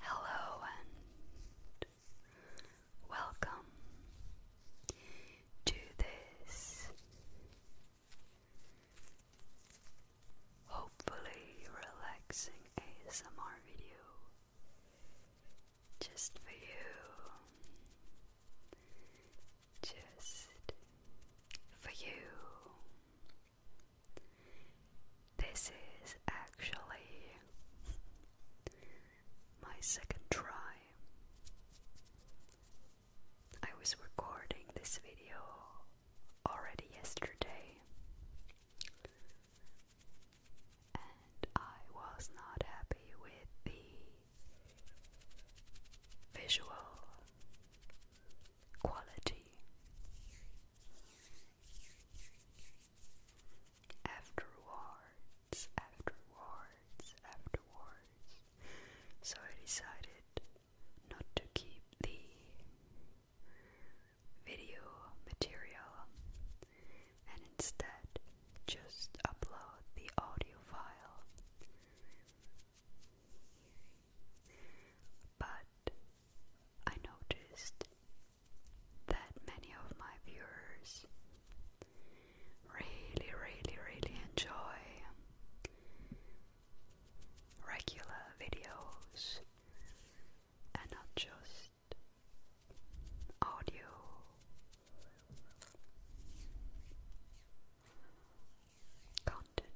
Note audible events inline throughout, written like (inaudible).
Hello and welcome to this hopefully relaxing ASMR video. Just for you. Just for you. This is actually my second try. I was recording this video already yesterday, and I was not happy with the visual quality. Afterwards, afterwards, afterwards, so I decided not to keep the video material and instead just upload the audio file. But I noticed that many of my viewers really, really, really enjoy regular videos and not just audio. Content.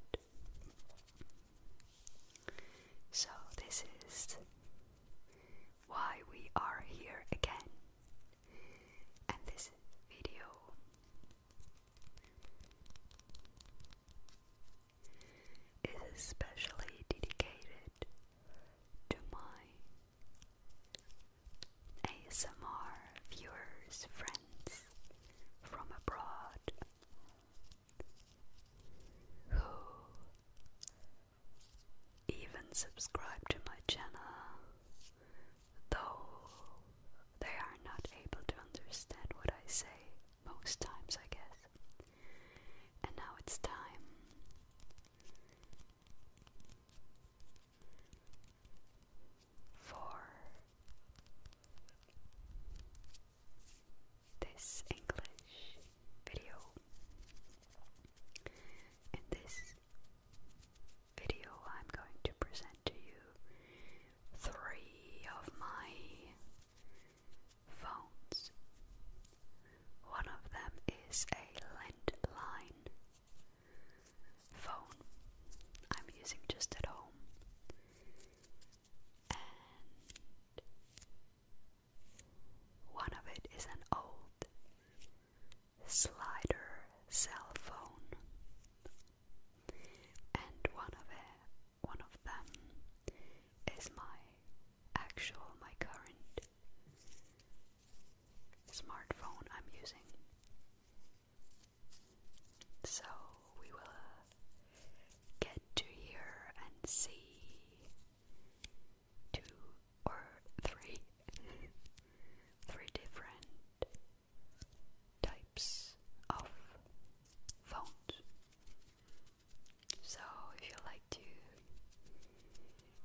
So, this is why we are here again, and this video is especially dedicated to my ASMR viewers, friends from abroad who even subscribe to my channel, though they are not able to understand what I say most times, I guess. And now it's time for this English video. In this video, I'm going to present to you three of my phones one of them is a landline phone I'm using just at home. And one of it is an old slider cell phone. And one of it, one of them is my actual, my current smartphone I'm using. So we will uh, get to hear and see two or three, (laughs) three different types of phones. So if you like to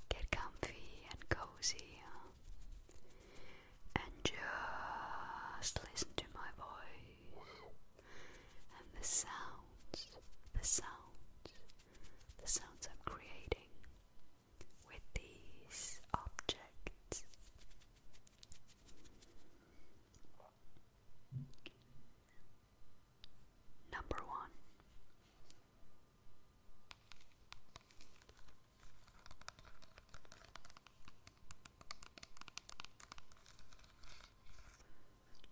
Get comfy and cozy uh, and just listen to my voice and the sounds, the sounds, the sounds I'm creating with these objects. Number one,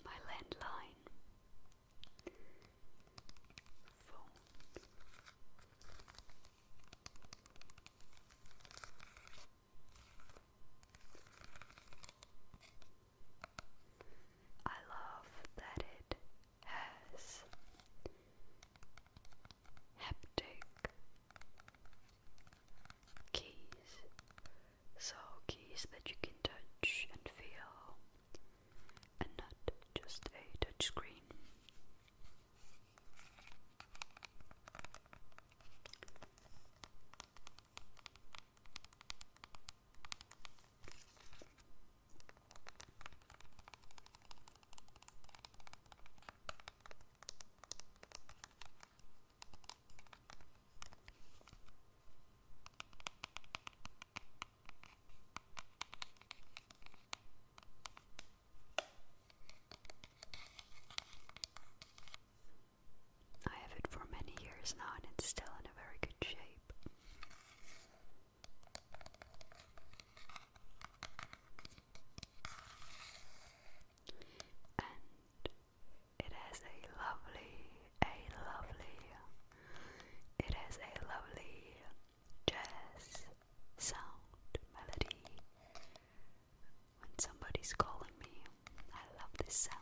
my landline I love that it has haptic keys, so keys that you can touch and feel, and not just a touch I have it for many years now and it's still in a very good shape. And it has a lovely, a lovely, it has a lovely jazz sound melody. When somebody's calling me, I love this sound.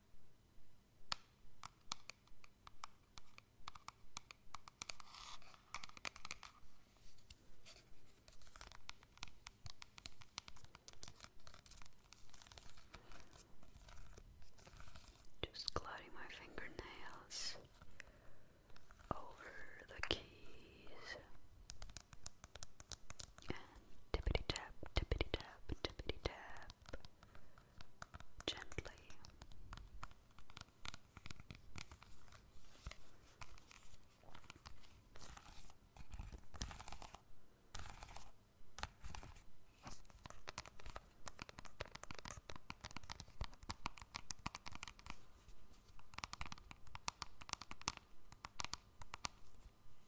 Just gliding my fingernails over the keys. And tippity tap, tippity tap, tippity tap. Gently.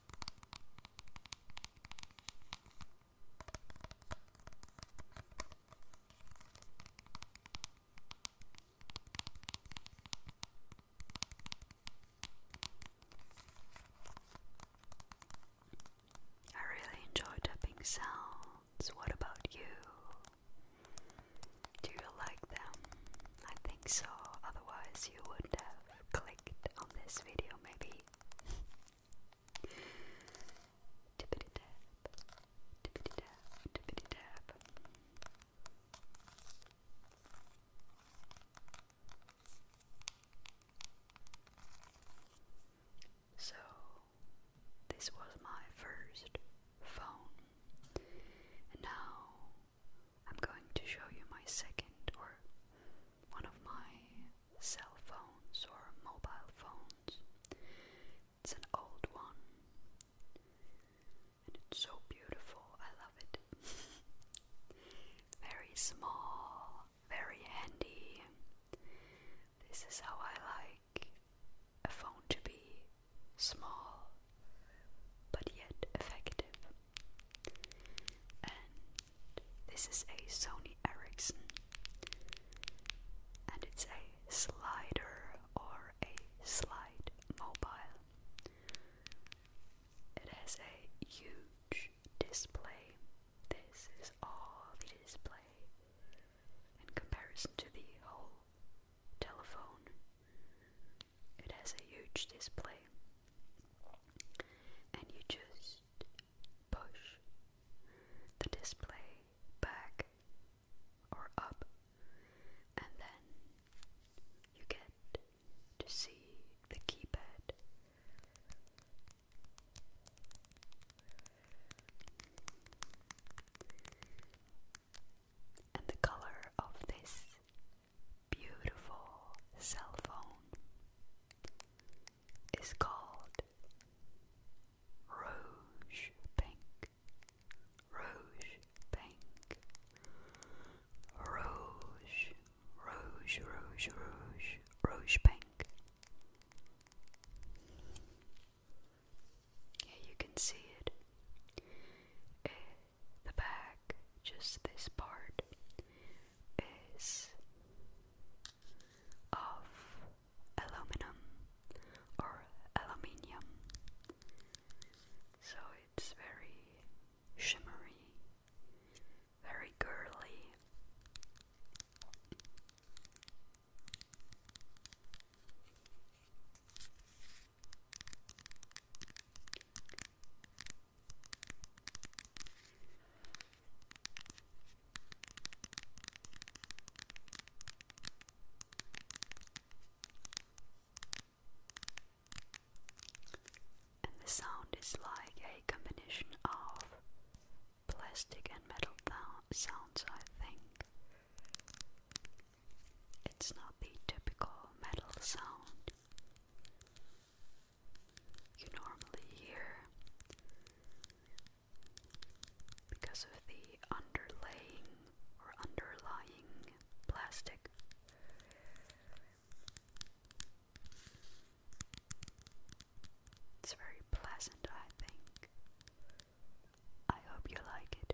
I really enjoy tapping sounds. What about you? Do you like them? I think so, otherwise, you would have clicked on this video, maybe. (laughs) So, this was my first phone, now I'm going to show you my second or one of my cell phones or mobile phones. It's an old one and it's so beautiful. I love it. (laughs) very small, very handy. This is how I like a phone to be small but yet effective this is a Sony Ericsson. And it's a slider or a slide mobile. It has a huge display. This is all the display in comparison to the whole telephone. It has a huge display and you just push the display back or up, and then you get to see the keypad. And the color of this beautiful cell phone is called Rouge Pink. Rouge Pink. Rouge, Rouge, Rouge, Rouge, Rouge Pink. Yeah, you can see it. Eh, the back, just this part, is of aluminum or aluminium, so it's very shimmery, very girly. And the sound is like a combination of plastic and metal sounds, I think. It's not the typical metal sound you normally hear because of the underlaying or underlying plastic. It's very pleasant, I think. I hope you like it.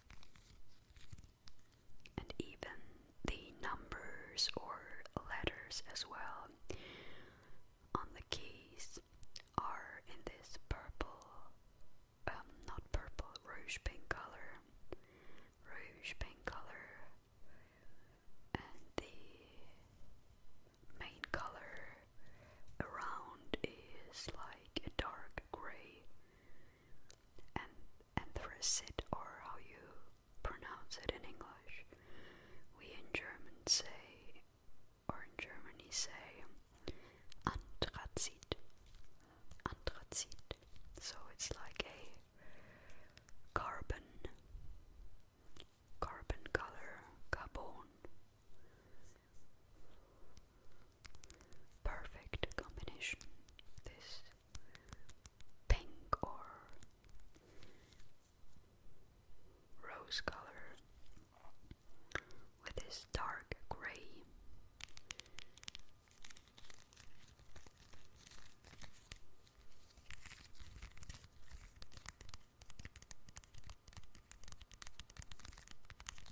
and even the numbers or letters as well on the keys are in this purple um, not purple rouge pink color rouge pink color and the main color around is like a dark gray anthracite, or how you pronounce it in English. We in German say, or in Germany say, anthracite. Anthracite. So it's like a carbon, carbon color, carbon perfect combination. This pink or rose color with this dark gray.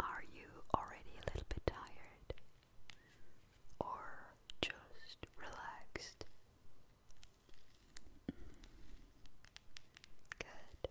Are you already a little bit tired or just relaxed? Good.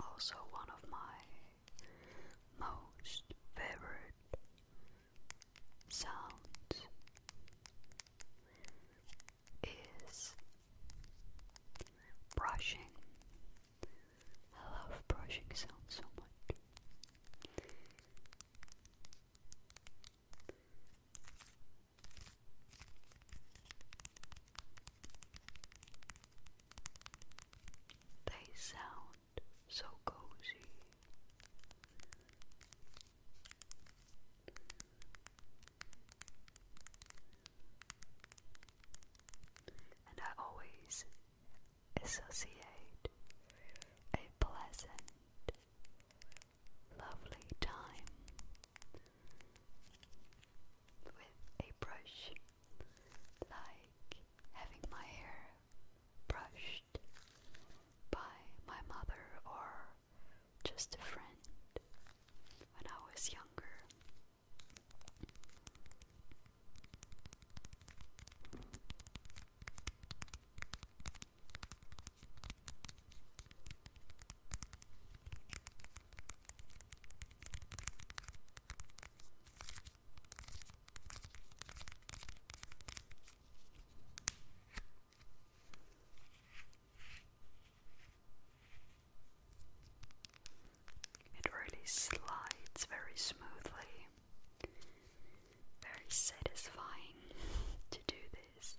Also, one of my most favorite sounds is brushing. I love brushing sounds so much. They sound so cozy. And I always associate a pleasant, lovely time with a brush, like having my hair brushed by my mother or just a friend when I was younger. It really slides very smoothly. Very satisfying (laughs) to do this.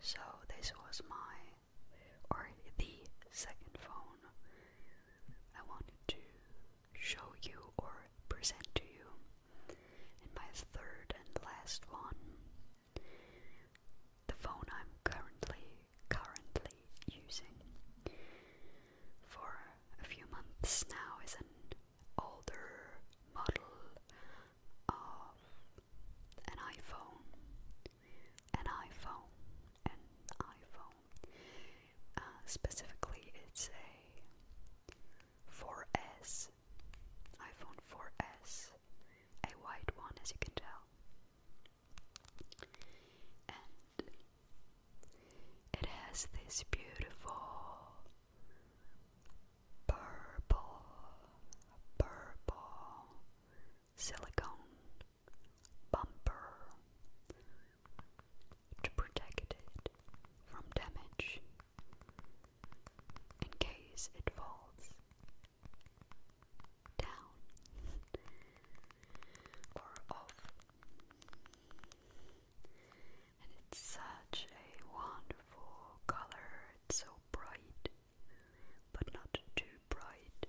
So this was my or the second phone I wanted to show you or present to you. And my third and last one, the phone I'm currently currently using for a few months now is an older model of an iPhone, an iPhone, an iPhone. Uh, specifically, it's a 4S, iPhone 4S, a white one as you can tell. And it has this beautiful purple, purple silicone bumper to protect it from damage in case it falls down or off. And it's such a wonderful color, it's so bright but not too bright.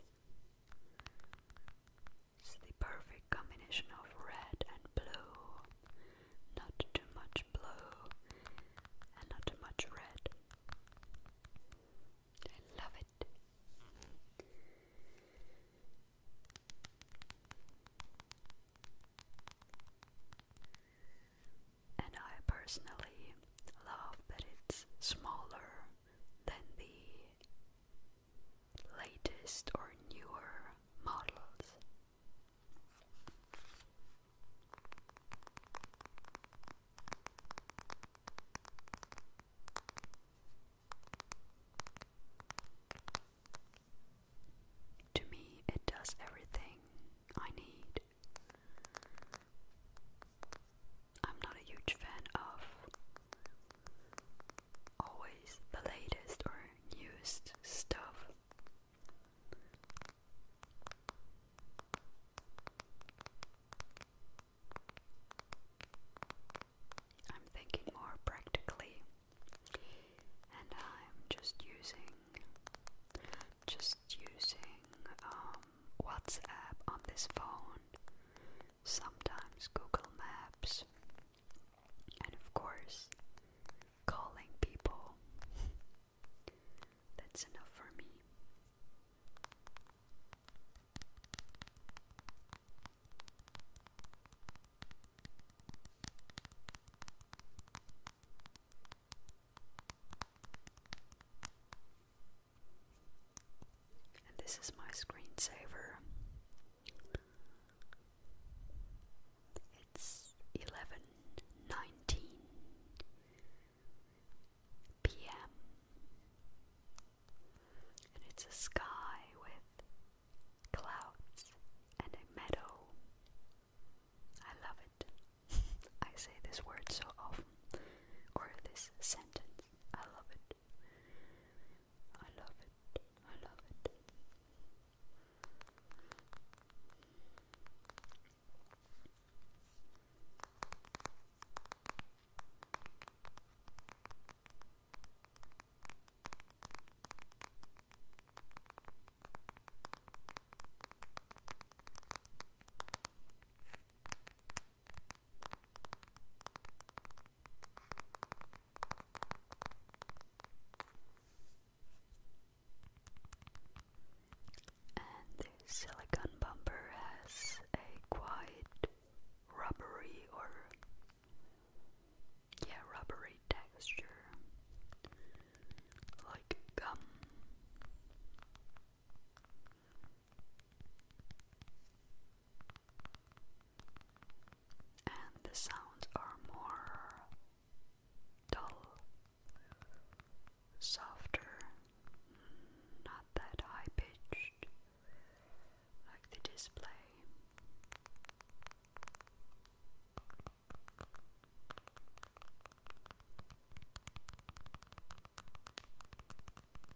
It's the perfect combination of red and blue. Not too much blue and not too much red. I love it. And I personally love, but it's smaller than the latest or newer models. To me, it does everything I need. I'm not a huge fan of always the latest or newest stuff. I'm thinking more practically, and I'm just using, just using um, from WhatsApp on this phone, sometimes Google Maps, and of course, calling people. (laughs) That's enough for me. And this is my screensaver. It's 11:19 p.m. And it's a sky with clouds and a meadow. I love it. (laughs) I say this word so often, or this sentence. I love it. I love it. I love it. And the silicon bumper has a quite rubbery or yeah, rubbery texture like gum and the sounds are more dull, softer, not that high pitched like the display.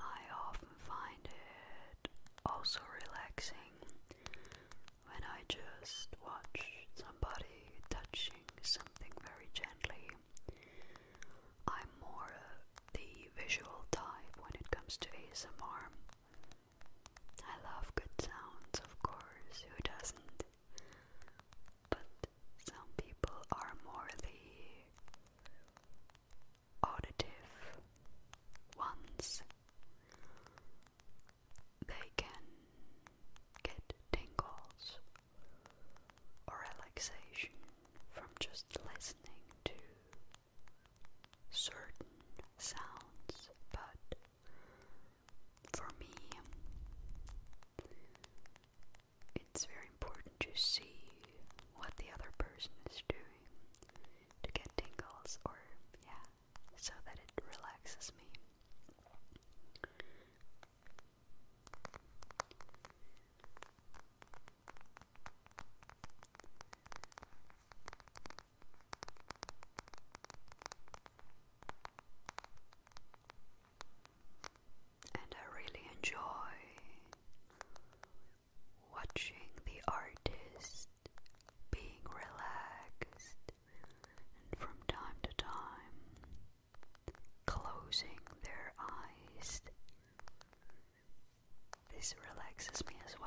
I often find it also relaxing when I just watch somebody touching something very gently I'm more the visual type when it comes to ASMR. I love good sounds, of course, who doesn't? But some people are more the auditive ones. They can get tingles or relaxation from just listening to certain sounds, but for me, it's very important to see what the other person is doing to get tingles, or yeah, so that it relaxes me. And I really enjoy watching the artist being relaxed and from time to time closing their eyes this relaxes me as well.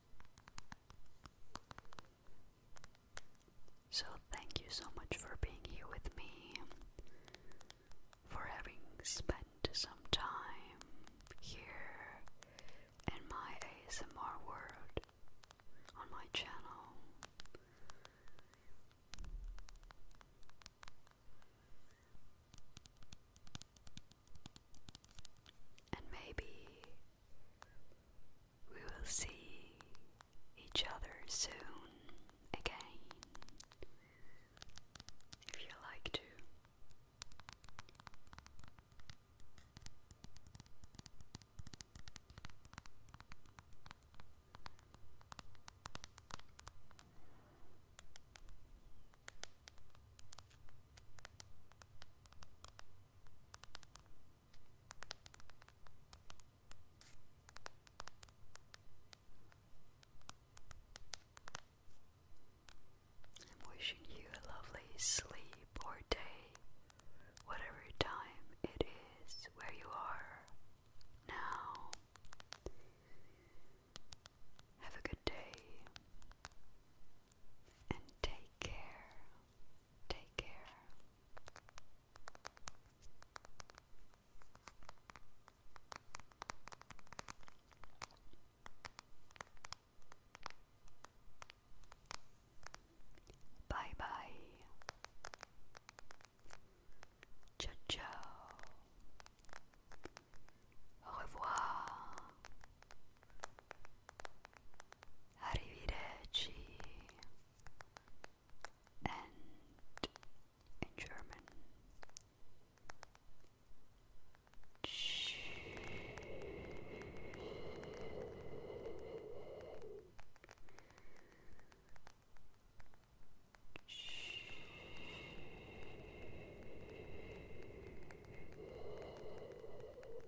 So, thank you so much for being here with me, for having spent some time here in my ASMR world on my channel. And maybe we will see each other soon again if you like to. I'm wishing you a lovely sleep or day, whatever time it is where you are now. Have a good day and take care. Take care. Bye bye. Ciao ciao. Au revoir. Arrivederci and in German Tschüss. Tschüss.